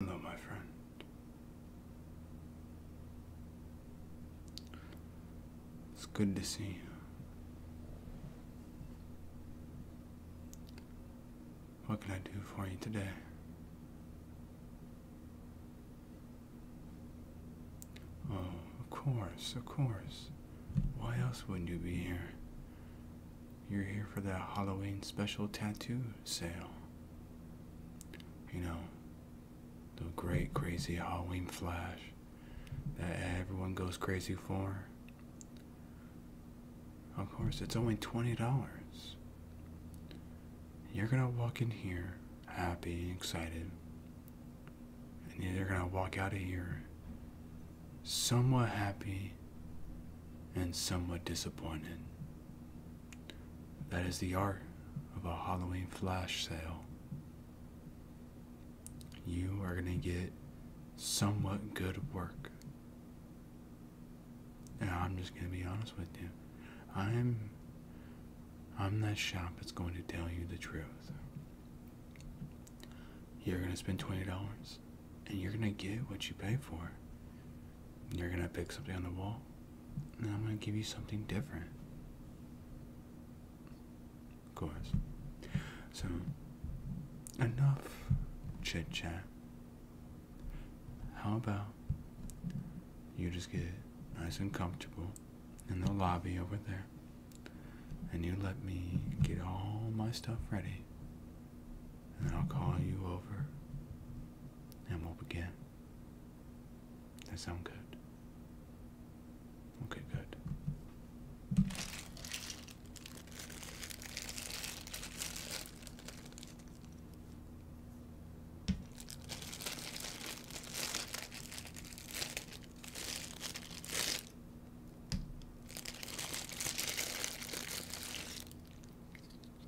No, my friend. It's good to see you. What can I do for you today? Oh, of course, of course. Why else wouldn't you be here? You're here for that Halloween special tattoo sale you know, the great crazy Halloween flash that everyone goes crazy for. Of course, it's only $20. You're gonna walk in here happy, excited, and you're gonna walk out of here somewhat happy and somewhat disappointed. That is the art of a Halloween flash sale. You are going to get somewhat good work. And I'm just going to be honest with you. I'm I'm that shop that's going to tell you the truth. You're going to spend $20 and you're going to get what you pay for. You're gonna pick something on the wall, and I'm gonna give you something different. Of course. So, enough chit chat. How about you just get nice and comfortable in the lobby over there, and you let me get all my stuff ready and I'll call you over and we'll begin. That sound good? Okay, good.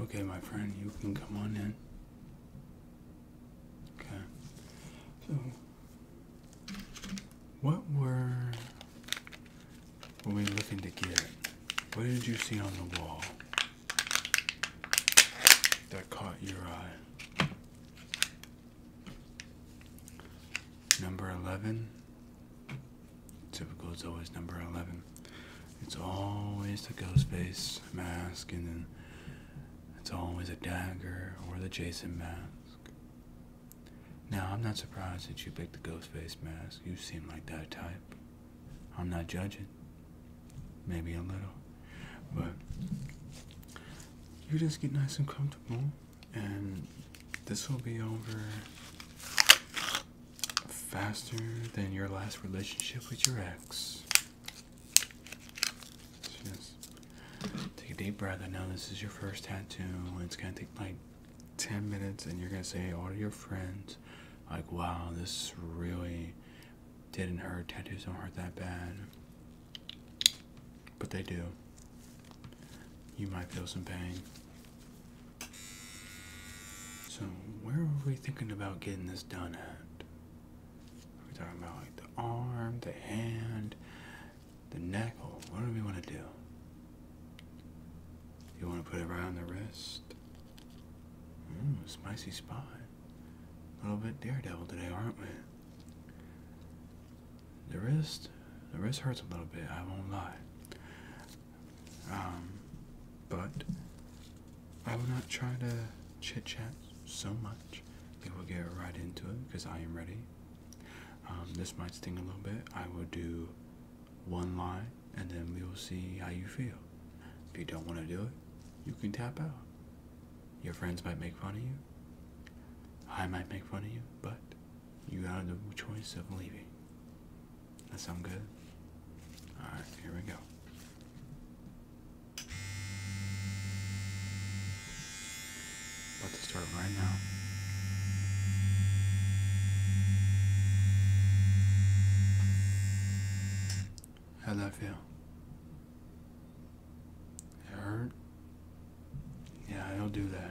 Okay, my friend, you can come on in. Okay. So, what were were we looking to get? What did you see on the wall that caught your eye? Number 11. Typical, it's always number 11. It's always the ghost face mask, and then it's always a dagger or the Jason mask. Now, I'm not surprised that you picked the ghost face mask. You seem like that type. I'm not judging. Maybe a little. But you just get nice and comfortable, and this will be over faster than your last relationship with your ex. Just take a deep breath. I know this is your first tattoo. It's gonna take like 10 minutes and you're going to say all your friends like wow this really didn't hurt tattoos don't hurt that bad but they do you might feel some pain so where are we thinking about getting this done at are we talking about like the arm the hand the neck, what do we want to do? You want to put it around the wrist? Mmm, spicy spot. A little bit daredevil today, aren't we? The wrist, the wrist hurts a little bit, I won't lie. Um, but I will not try to chit chat so much. We will get right into it because I am ready. Um, this might sting a little bit. I will do one line, and then we'll see how you feel. If you don't want to do it, you can tap out. Your friends might make fun of you. I might make fun of you, but you got the choice of leaving. That sound good? Alright, here we go. About to start right now. How'd that feel? It hurt? Yeah, it'll do that.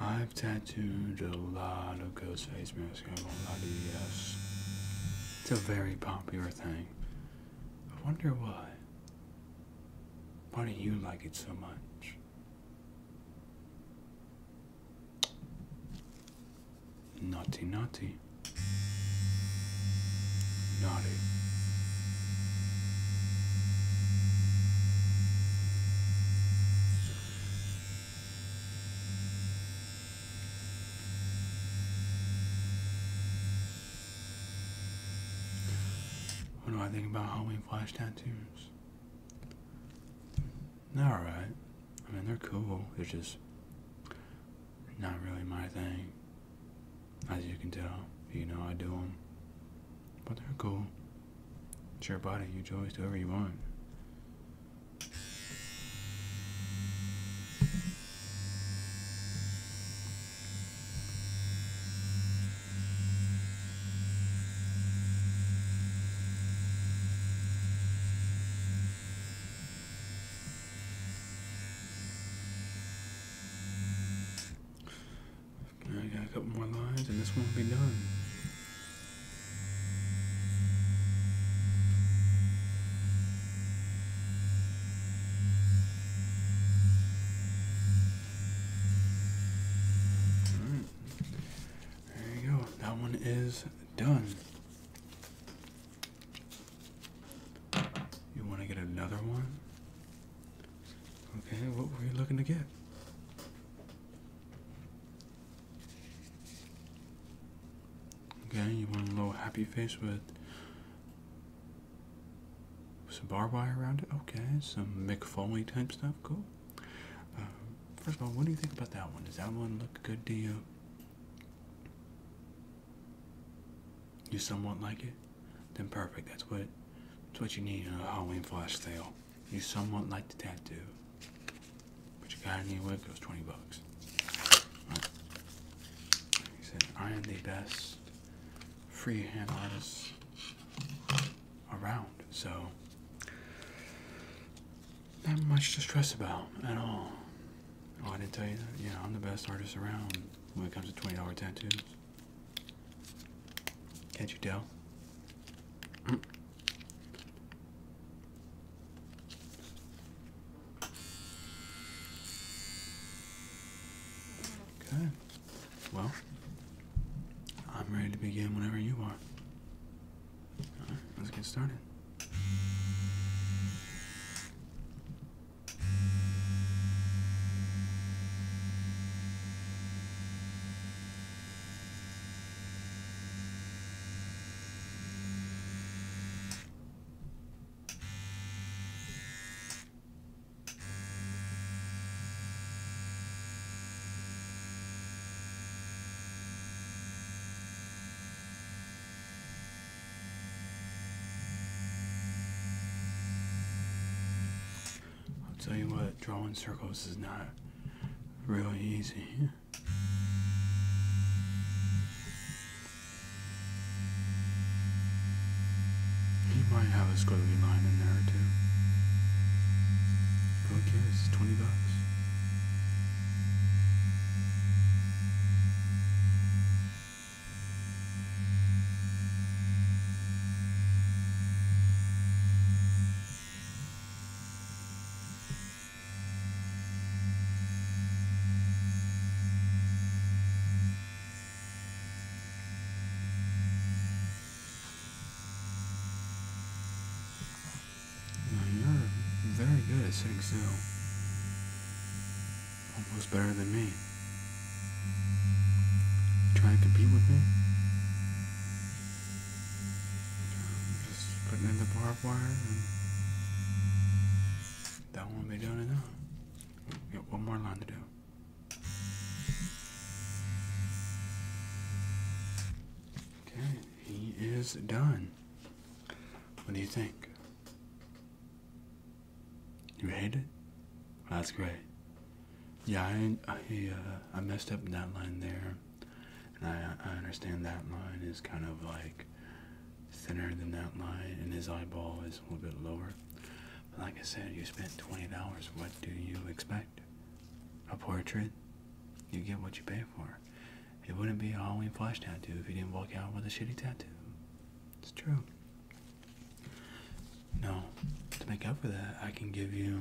I've tattooed a lot of ghost face masks. I won't lie to you, yes. It's a very popular thing. I wonder why. Why do you like it so much? Naughty, naughty. Naughty. What do I think about Halloween flash tattoos? alright. I mean, they're cool. They're just not really my thing. As you can tell, you know I do them. But they're cool. It's your body. You choose whoever you want. I got a couple more lines and this one will be done. There you go. That one is done. You want to get another one? Okay, what were you looking to get? Okay, you want a little happy face with some barbed wire around it? Okay, some McFoley type stuff, cool. Um, first of all, what do you think about that one? Does that one look good to you? You somewhat like it? Then perfect. That's what that's what you need in a Halloween flash sale. You somewhat like the tattoo, but you got to anyway, it goes 20 bucks. He said, I am the best freehand artist around, so not much to stress about at all. Oh, I didn't tell you that. Yeah, I'm the best artist around when it comes to $20 tattoos. Can't you tell? Mm. Okay. Well, I'm ready to begin whenever you are. right, let's get started. I'll tell you what, drawing circles is not Really easy. He might have a squiggly line in there too. Who cares? Twenty bucks you're very good at sitting still. Almost better than me. Trying to compete with me? Just putting in the barbed wire and that won't be done enough. We got one more line to do. Okay, he is done. What do you think? You hate it? That's great. Yeah, I, I, uh, messed up that line there. And I, understand that line is kind of like thinner than that line, and his eyeball is a little bit lower. But like I said, you spent $20. What do you expect? A portrait? You get what you pay for. It wouldn't be a Halloween flash tattoo if you didn't walk out with a shitty tattoo. It's true. No, to make up for that, I can give you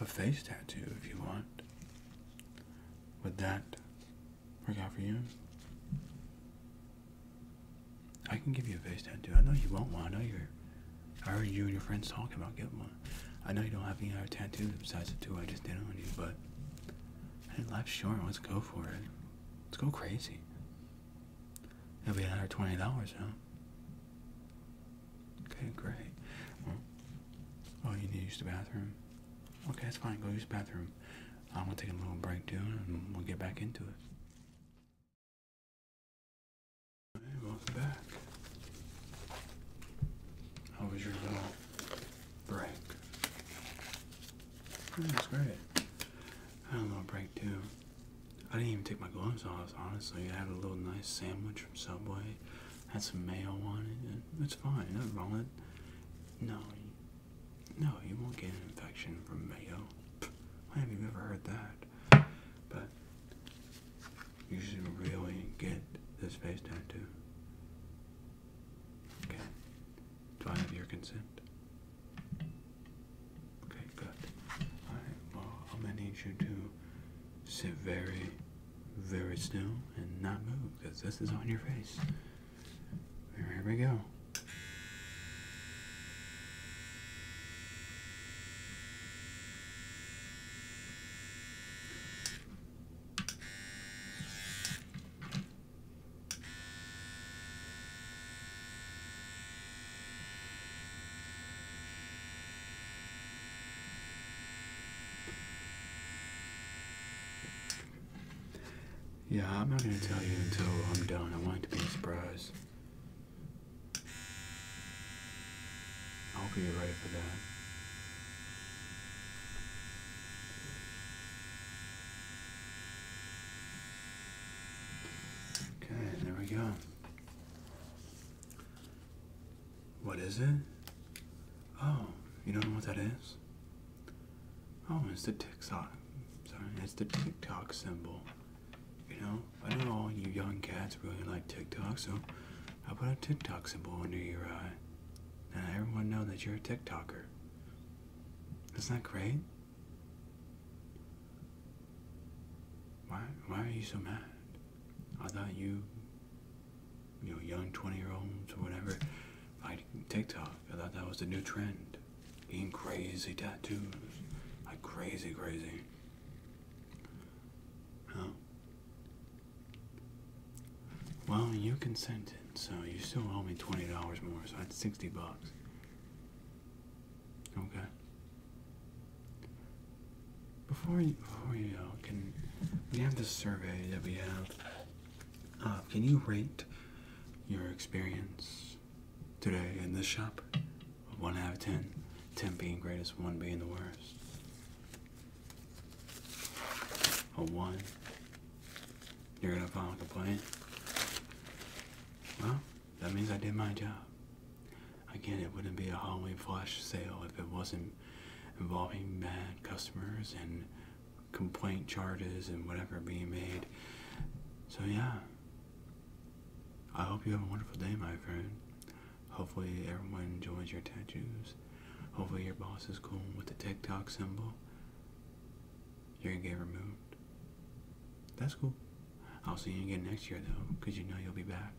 a face tattoo if you want. Would that work out for you? I can give you a face tattoo. I know you won't want one. I know you're. I heard you and your friends talking about getting one. I know you don't have any other tattoos besides the two I just did on you, but hey, life's short. Let's go for it. Let's go crazy. that will be another twenty dollars, huh? Okay, great. Well, oh, you need to use the bathroom? Okay, that's fine. Go use the bathroom. I'm going to take a little break, too, and we'll get back into it. Hey, welcome back. How was your little break? Yeah, that's great. I had a little break, too. I didn't even take my gloves off, honestly. I had a little nice sandwich from Subway, had some mayo on it. It's fine, nothing wrong No, no, you won't get an infection from mayo. Why have you ever heard that? But you should really get this face tattoo. Okay. Do I have your consent? Okay, good. Alright, well, I'm gonna need you to sit very, very still and not move because this is on your face. Here we go. Yeah, I'm not going to tell you until I'm done. I want it to be a surprise. I hope you're ready for that. Okay, there we go. What is it? Oh, you don't know what that is? Oh, it's the TikTok. Sorry, it's the TikTok symbol. You know, I know all you young cats really like TikTok, so I put a TikTok symbol under your eye. And everyone know that you're a TikToker. Isn't that great? Why, why are you so mad? I thought you, you know, young 20 year olds or whatever, like TikTok. I thought that was the new trend. Getting crazy tattoos. Like crazy, crazy. Huh? Well, you consented, so you still owe me $20 more, so that's 60 bucks. Okay. Before you, before you can we have this survey that we have? Uh, can you rate your experience today in this shop? One out of ten, ten being greatest, one being the worst. A one. You're gonna file a complaint. Well, that means I did my job. Again, it wouldn't be a hallway flash sale if it wasn't involving bad customers and complaint charges and whatever being made. So yeah. I hope you have a wonderful day, my friend. Hopefully everyone enjoys your tattoos. Hopefully your boss is cool with the TikTok symbol. You're gonna get removed. That's cool. I'll see you again next year though, because you know you'll be back.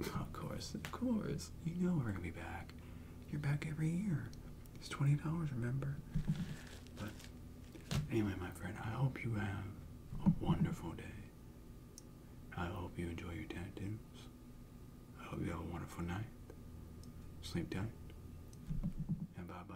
Of course, of course. You know we're gonna be back. You're back every year. It's twenty dollars, remember? But anyway, my friend, I hope you have a wonderful day. I hope you enjoy your tattoos. I hope you have a wonderful night. Sleep tight. And bye bye.